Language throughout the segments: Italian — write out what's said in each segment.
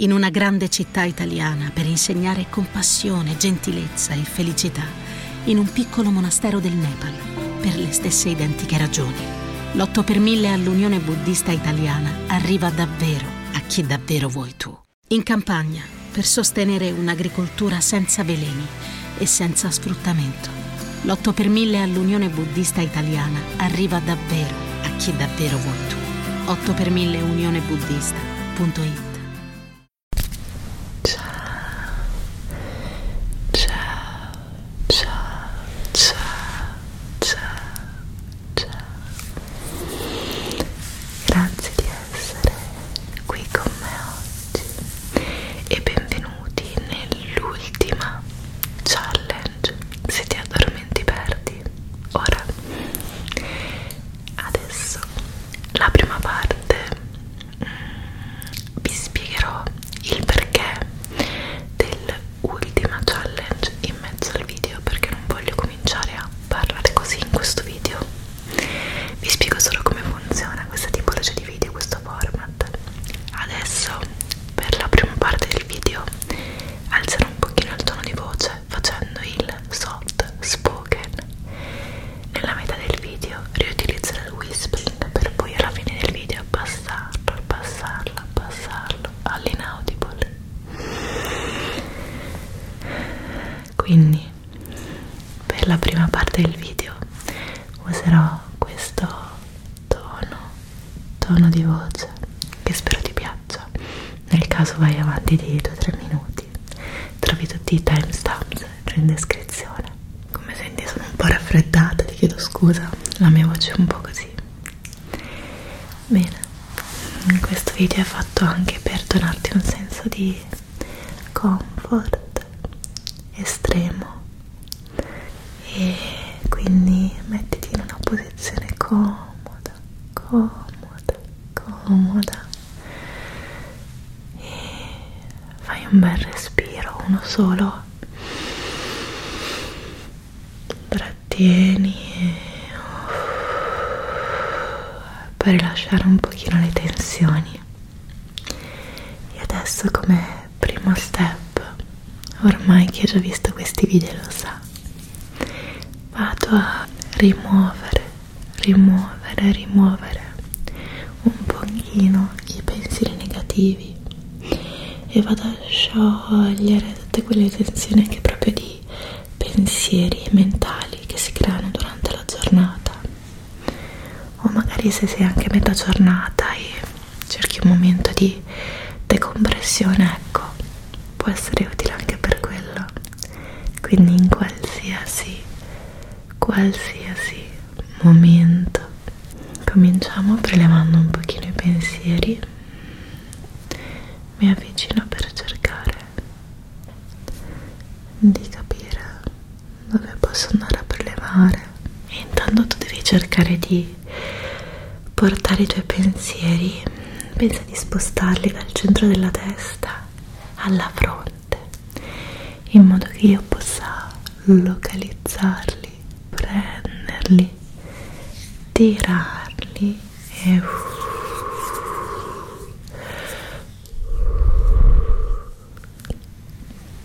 in una grande città italiana per insegnare compassione, gentilezza e felicità in un piccolo monastero del Nepal per le stesse identiche ragioni. L'8 per 1000 all'Unione Buddista Italiana arriva davvero a chi davvero vuoi tu. In campagna per sostenere un'agricoltura senza veleni e senza sfruttamento. L'8 per 1000 all'Unione Buddista Italiana arriva davvero libero a chi davvero vuoi tu. 8 per 1000 Unione Buddista.it Grazie di essere qui con me oggi e benvenuti nell'ultima challenge. Se ti addormenti perdi quindi ora adesso la prima parte mm, vi spiegherò il perché dell'ultima challenge in mezzo al video perché non voglio cominciare a parlare così in questo video vi spiego solo come funziona questa tipologia di video questo format adesso per la prima parte del video alzerò un pochino il tono di voce facendo il soft spoken nella metà del video riutilizzo il whispering per poi alla fine del video passarlo, passarlo, passarlo all'inaudible quindi per la prima parte del video userò questo tono tono di voce che spero ti piaccia pausa nel caso vai avanti di 2-3 minuti trovi tutti i timestamps cioè in descrizione come senti sono un po' raffreddata ti chiedo scusa la mia voce è un po' così bene questo video è fatto anche per donarti un senso di comfort estremo e quindi mettiti in una posizione comoda comoda, comoda, comoda e fai un bel respiro, uno solo trattieni e per rilasciare un pochino le tensioni e adesso come primo step ormai chi ha già visto questi video lo sa vado a rimuovere, rimuovere, rimuovere un pochino i pensieri negativi e vado a sciogliere tutte quelle tensioni che proprio di pensieri mentali che si creano durante la giornata o magari se sei anche a metà giornata e cerchi un momento di decompressione ecco può essere utile anche per quello quindi in qualsiasi qualsiasi momento cominciamo prelevando un pochino i pensieri mi avvicino per cercare di capire dove posso andare a prelevare e intanto tu devi cercare di portare i tuoi pensieri pensa di spostarli dal centro della testa alla fronte in modo che io possa localizzarli, prenderli, tirarli e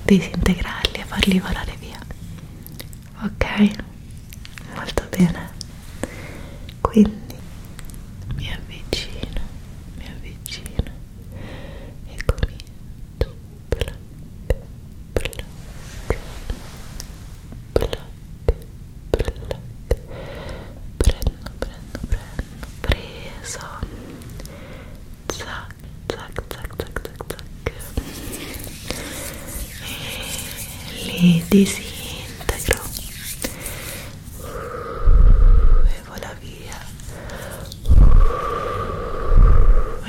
disintegrarli e farli volare via ok molto bene quindi mi avvicino mi avvicino e comincio bloc bloc bloc bloc prendo prendo prendo preso zac zac zac zac zac zac li disintegro e vola via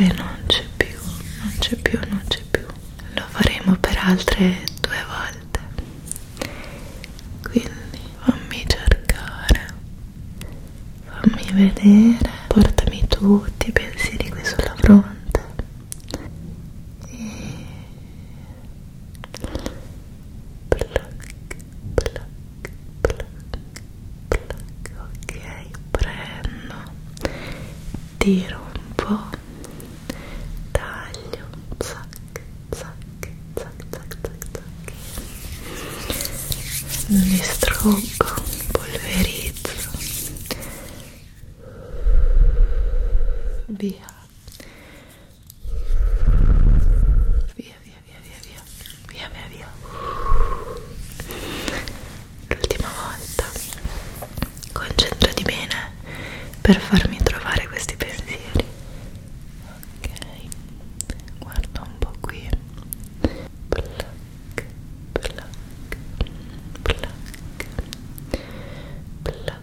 e non c'è più non c'è più non c'è più lo faremo per altre due volte quindi fammi cercare fammi vedere portami tutti i pensieri qui sulla fronte e Pluck, pluck, pluck, pluck. ok prendo tiro un po' taglio zac zac zac zac zac zac li struggo polverizzo via via via via via via via via via l'ultima volta concentrati bene per farmi trovare questi pensieri ok guarda un po' qui black black black black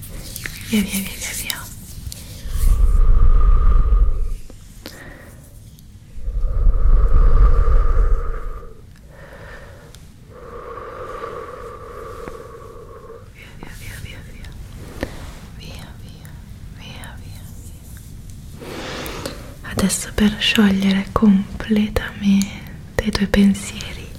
via via via via via via via via via via via via via via adesso per sciogliere completamente i tuoi pensieri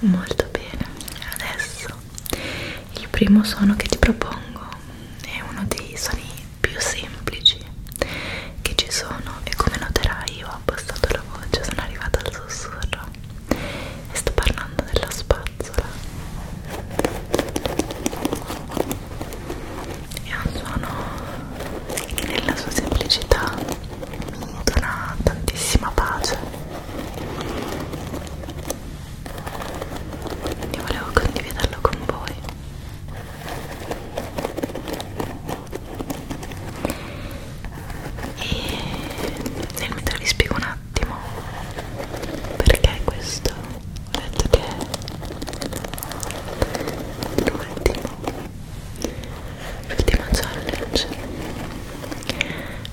Molto bene, adesso il primo suono che ti propongo è uno dei suoni più semplici che ci sono e come noterai io ho abbassato la voce, sono arrivata al sussurro e sto parlando della spazzola è un suono che nella sua semplicità mi dona tantissima pace e volevo condividerlo con voi e nel mentre vi spiego un attimo perché questo ho detto che l'ultimo l'ultima challenge cioè.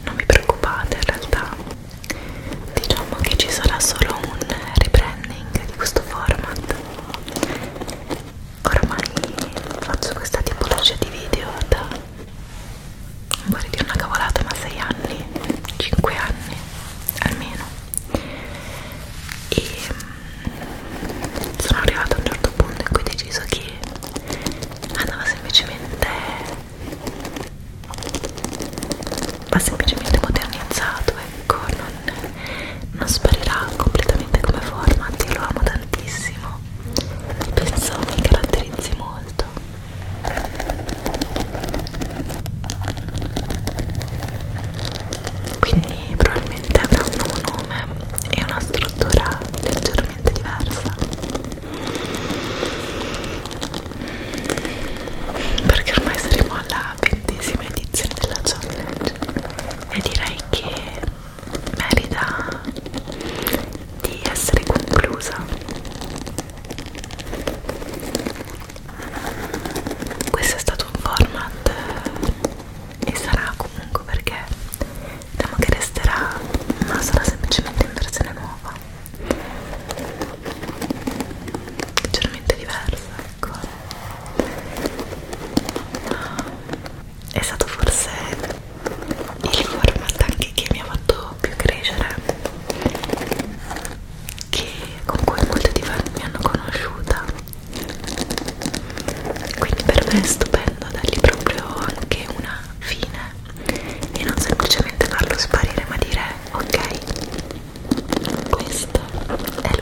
non vi preoccupate in realtà diciamo che ci sarà solo un rebranding di questo format ormai faccio questa tipologia di video da vorrei dire una cavolata ma 6 anni 5 anni almeno e sono arrivata a un certo punto in cui ho deciso che andava semplicemente va semplicemente modernizzato ecco non, non sparirà completamente come format io lo amo tantissimo penso mi caratterizzi molto quindi probabilmente avrà un nuovo nome e una struttura leggermente diversa perché ormai saremo alla ventesima edizione della challenge e direi che merita di essere conclusa questo è stato un format e sarà comunque perché diciamo che resterà ma sarà semplicemente in versione nuova leggermente diversa ecco è stato forse il format anche che mi ha fatto più crescere che con cui molti di voi mi hanno conosciuta quindi per me è stupendo dargli proprio anche una fine e non semplicemente farlo sparire ma dire ok questo è l'ultimo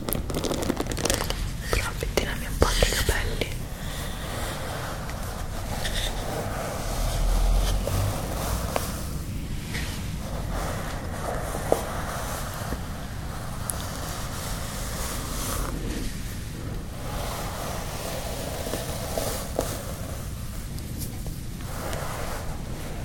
Prova a pettinarmi un po' anche i capelli ok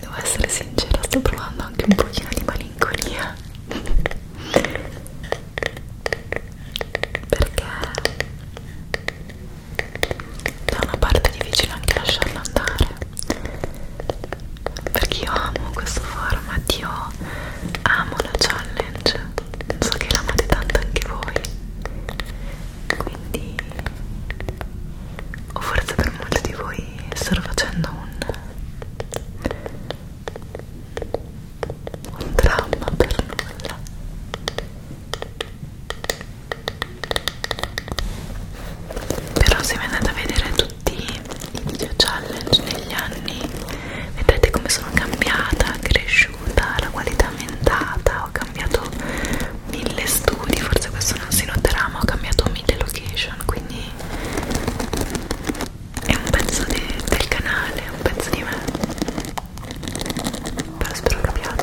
Devo essere sincera, sto provando anche un pochino di malinconia perché da una parte è difficile anche lasciarla andare perché io amo questo format io amo la challenge so che l'amate tanto anche voi quindi o forse per molti di voi sto facendo un un dramma per nulla però se vi andate a vedere tutti i video challenge negli anni vedrete come sono cambiata cresciuta la qualità aumentata ho cambiato mille studi forse questo non si noterà ma ho cambiato mille location quindi è un pezzo de del canale è un pezzo di me però spero capiate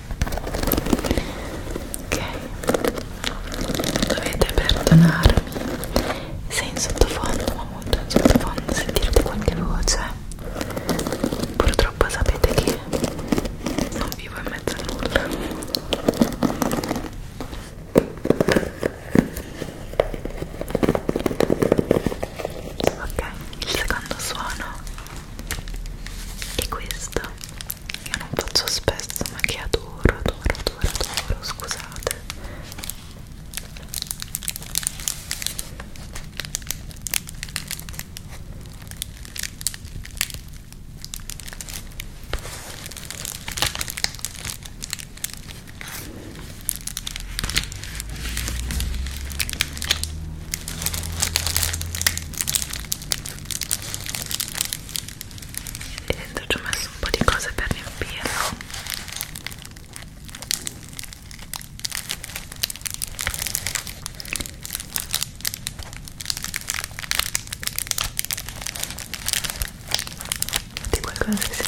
ok dovete perdonarmi se in sottofondo ma molto in sottofondo sentirete qualche voce purtroppo sapete che non vivo in mezzo a nulla ok il secondo suono e questa io non faccio spesso ma che adoro adoro adoro adoro scusate e dentro ci ho messo un po' di cose per riempirlo di qualcosa si sente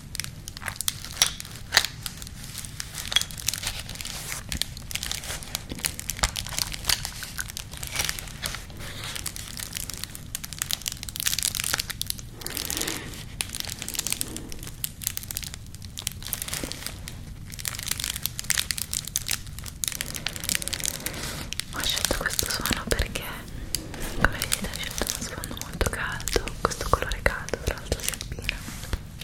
Ho scelto questo suono perché come vedete ho scelto uno sfondo molto caldo questo colore caldo tra l'altro si abbina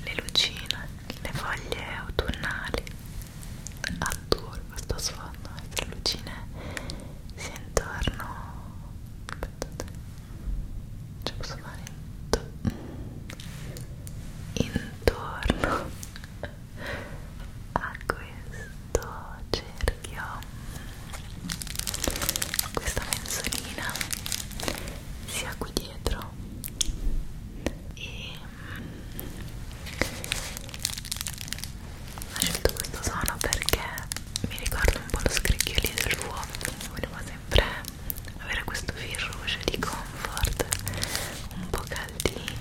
le lucine le foglie autunnali adoro questo sfondo le lucine si intorno aspettate ce posso fare intorno a questo cielo perché ho questa mensolina sia qui dietro e mm, ho scelto questo suono perché mi ricorda un po' lo scricchiolio dell'uovo volevo sempre avere questo fil rouge di comfort un po' caldino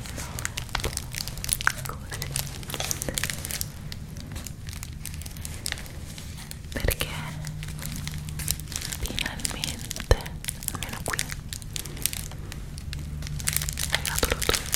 così perché finalmente almeno qui è arrivato l'autunno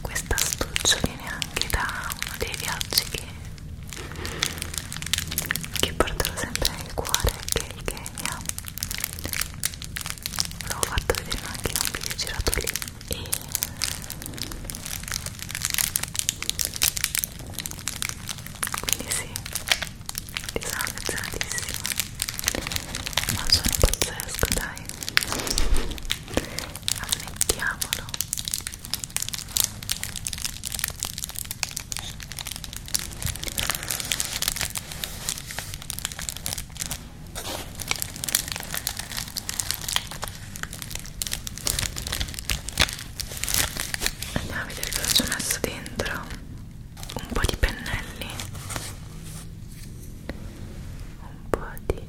questa astuccia viene anche da uno dei viaggi che, che porterò sempre nel cuore che è il Kenya l'ho fatto vedere anche in un video girato lì e quindi sì ti sono affezionatissima ma sono pazzesco dai ammettiamolo andiamo a vedere cosa ci ho messo dentro un po' di pennelli un po' di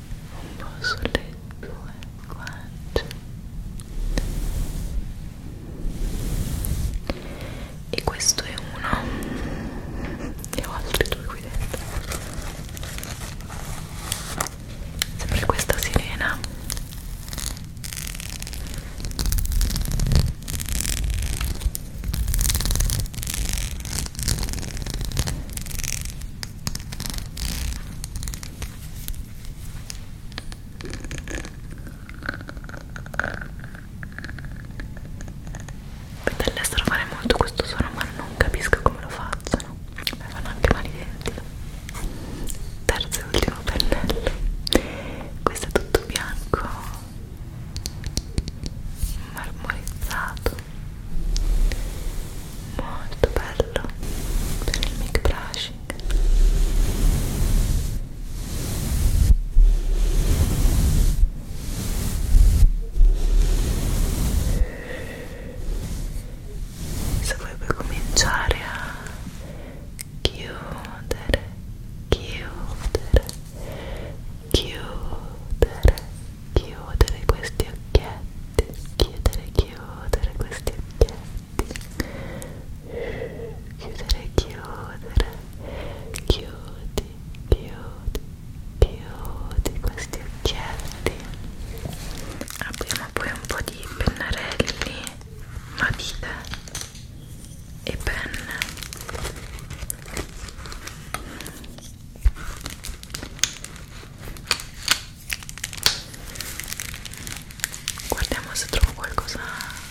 un po' sulle tue guance e questo è uno e ho altri due qui dentro sempre questa sirena Dall'estero fare molto questo suono ma non capisco come lo facciano Mi fanno anche male i denti Terzo e ultimo pennello Questo è tutto bianco Marmorizzato molto bello per il mic brushing se vuoi puoi cominciare a chiudere chiudere chiudere chiudere questi occhietti chiudere, chiudere questi occhietti chiudere, chiudere chiudi, chiudi, chiudi questi occhietti abbiamo poi un po' di pennarelli matite e penne guardiamo se trovo qualcosa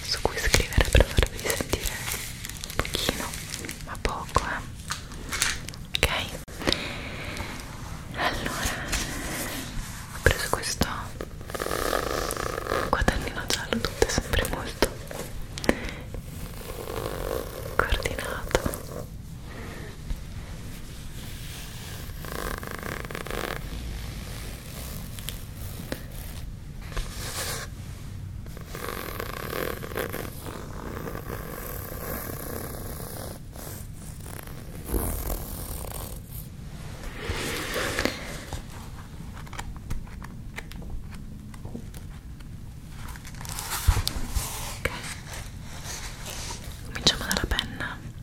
su cui scrivere per farvi sentire un pochino ma poco eh ok allora ho preso questo quadernino giallo tutto è sempre molto coordinato cominciamo dalla penna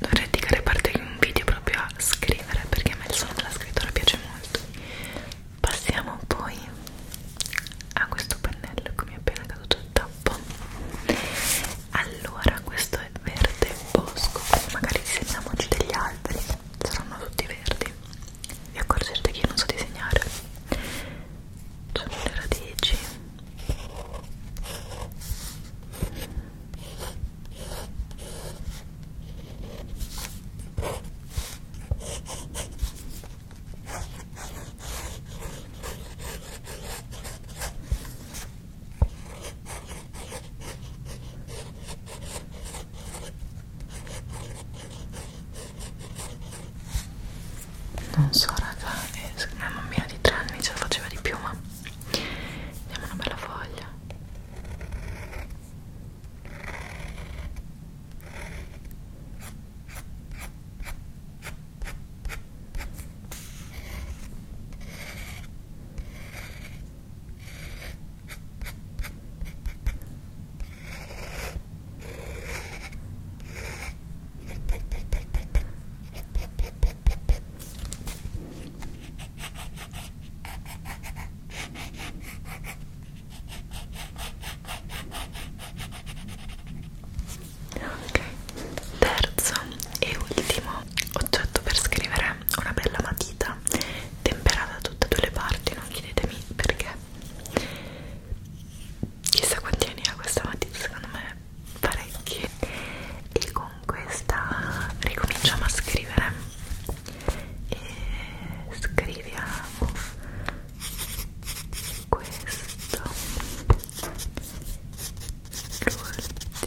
Dovrei dedicare parte di un video proprio a scrivere perché a me il suono della scrittura piace molto. Passiamo poi a questo pennello che mi è appena caduto il tappo. Allora, questo è verde bosco, magari disegniamoci degli alberi, saranno tutti verdi e accorgerti che io non so disegnare c'è cioè, le radici non so raga una bambina di tre anni ce la faceva di più ma diamo una bella foglia Terzo e ultimo oggetto per scrivere una bella matita matita temperata da tutte e due le parti non chiedetemi perché chissà quanti anni ha questa matita secondo me parecchi e con questa ricominciamo a scrivere e scriviamo questo l'ultimo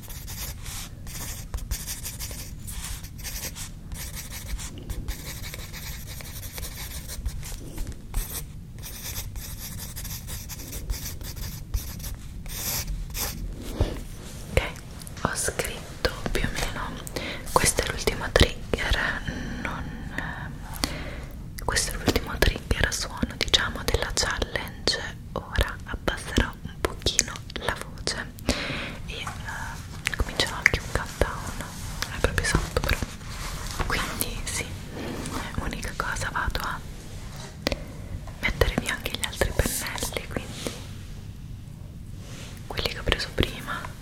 ho scritto più o meno questo è l'ultimo trigger non eh, questo è l'ultimo trigger suono diciamo della challenge ora abbasserò un pochino la voce e uh, eh, comincerà anche un countdown non è proprio esatto però quindi sì unica cosa vado a mettere via anche gli altri pennelli quindi quelli che ho preso prima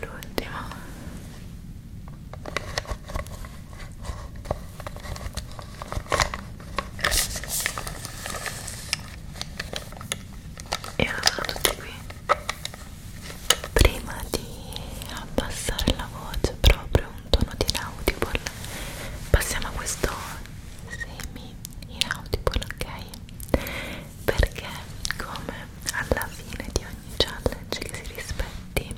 l'ultimo e ora sono tutti qui prima di abbassare la voce proprio un tono di inaudible passiamo a questo semi inaudible ok perché come alla fine di ogni challenge che si rispetti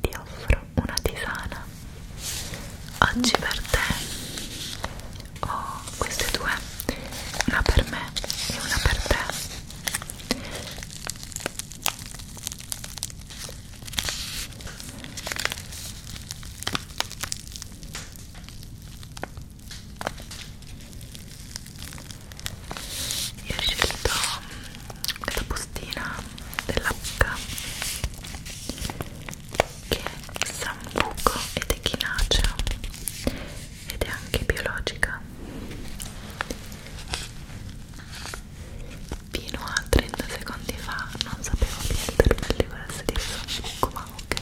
ti offro una tisana oggi per te ho queste due una per me e una per te io ho scelto la mm, bustina della buca che è sambuco ed echinacea ed è anche biologica fino a 30 secondi fa non sapevo che il termelli volesse dire succo ma ok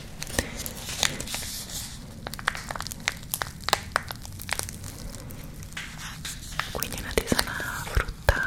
quindi una tisana fruttata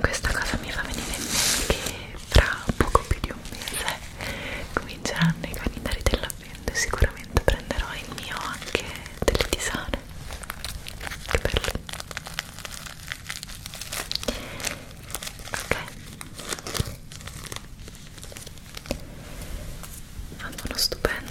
Questa cosa mi fa venire in mente che fra poco più di un mese cominceranno i calendari dell'avvento e sicuramente prenderò il mio anche delle tisane. Che bello. Ok hanno uno stupendo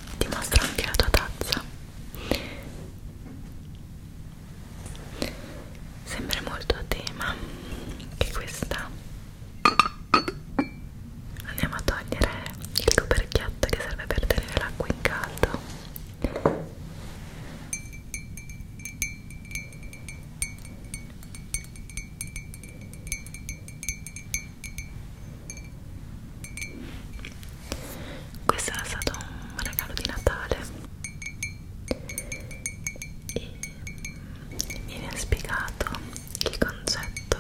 ti mostro anche la tua tazza sempre molto a tema che questa andiamo a togliere il coperchietto che serve per tenere l'acqua in caldo questo era stato un regalo di Natale e mm, viene spiegato il concetto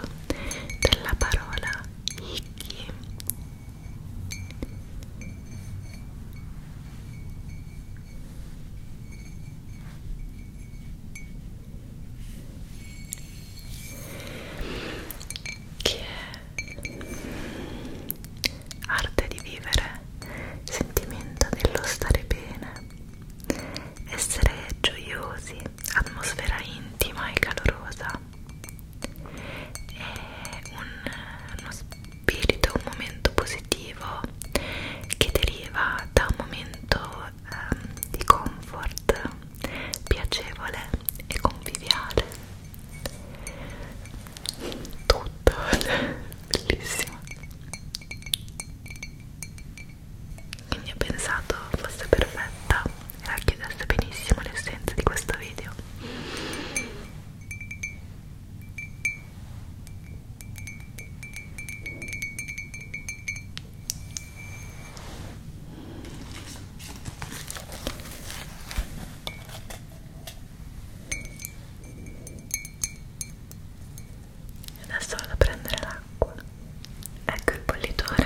della parola Hiki che è arte di vivere, sentimento dello stare bene, essere gioiosi, atmosfera intima e calorosa, è un, uno spirito, un momento positivo che deriva da un momento ehm, di comfort piacevole e conviviale tutto bellissimo quindi ho pensato fosse perfetta e racchiudesse benissimo l'essenza di questo video Adesso vado a prendere l'acqua. Ecco il bollitore.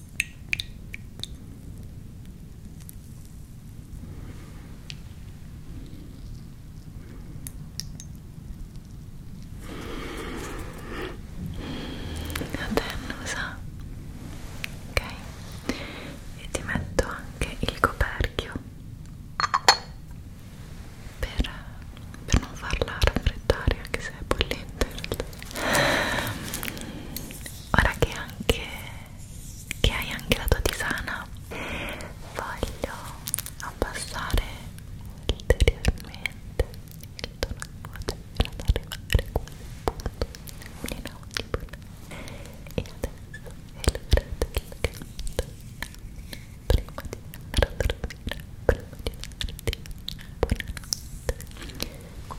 Attennusa ok e ti metto anche il coperchio per, per non farla raffreddare anche se è bollente ora che anche che hai anche la tua tisana voglio abbassare ulteriormente il tono di voce fino ad arrivare a quel punto inaudibile e adesso è l'ora del canto prima di andare a dormire prima di darti buonanotte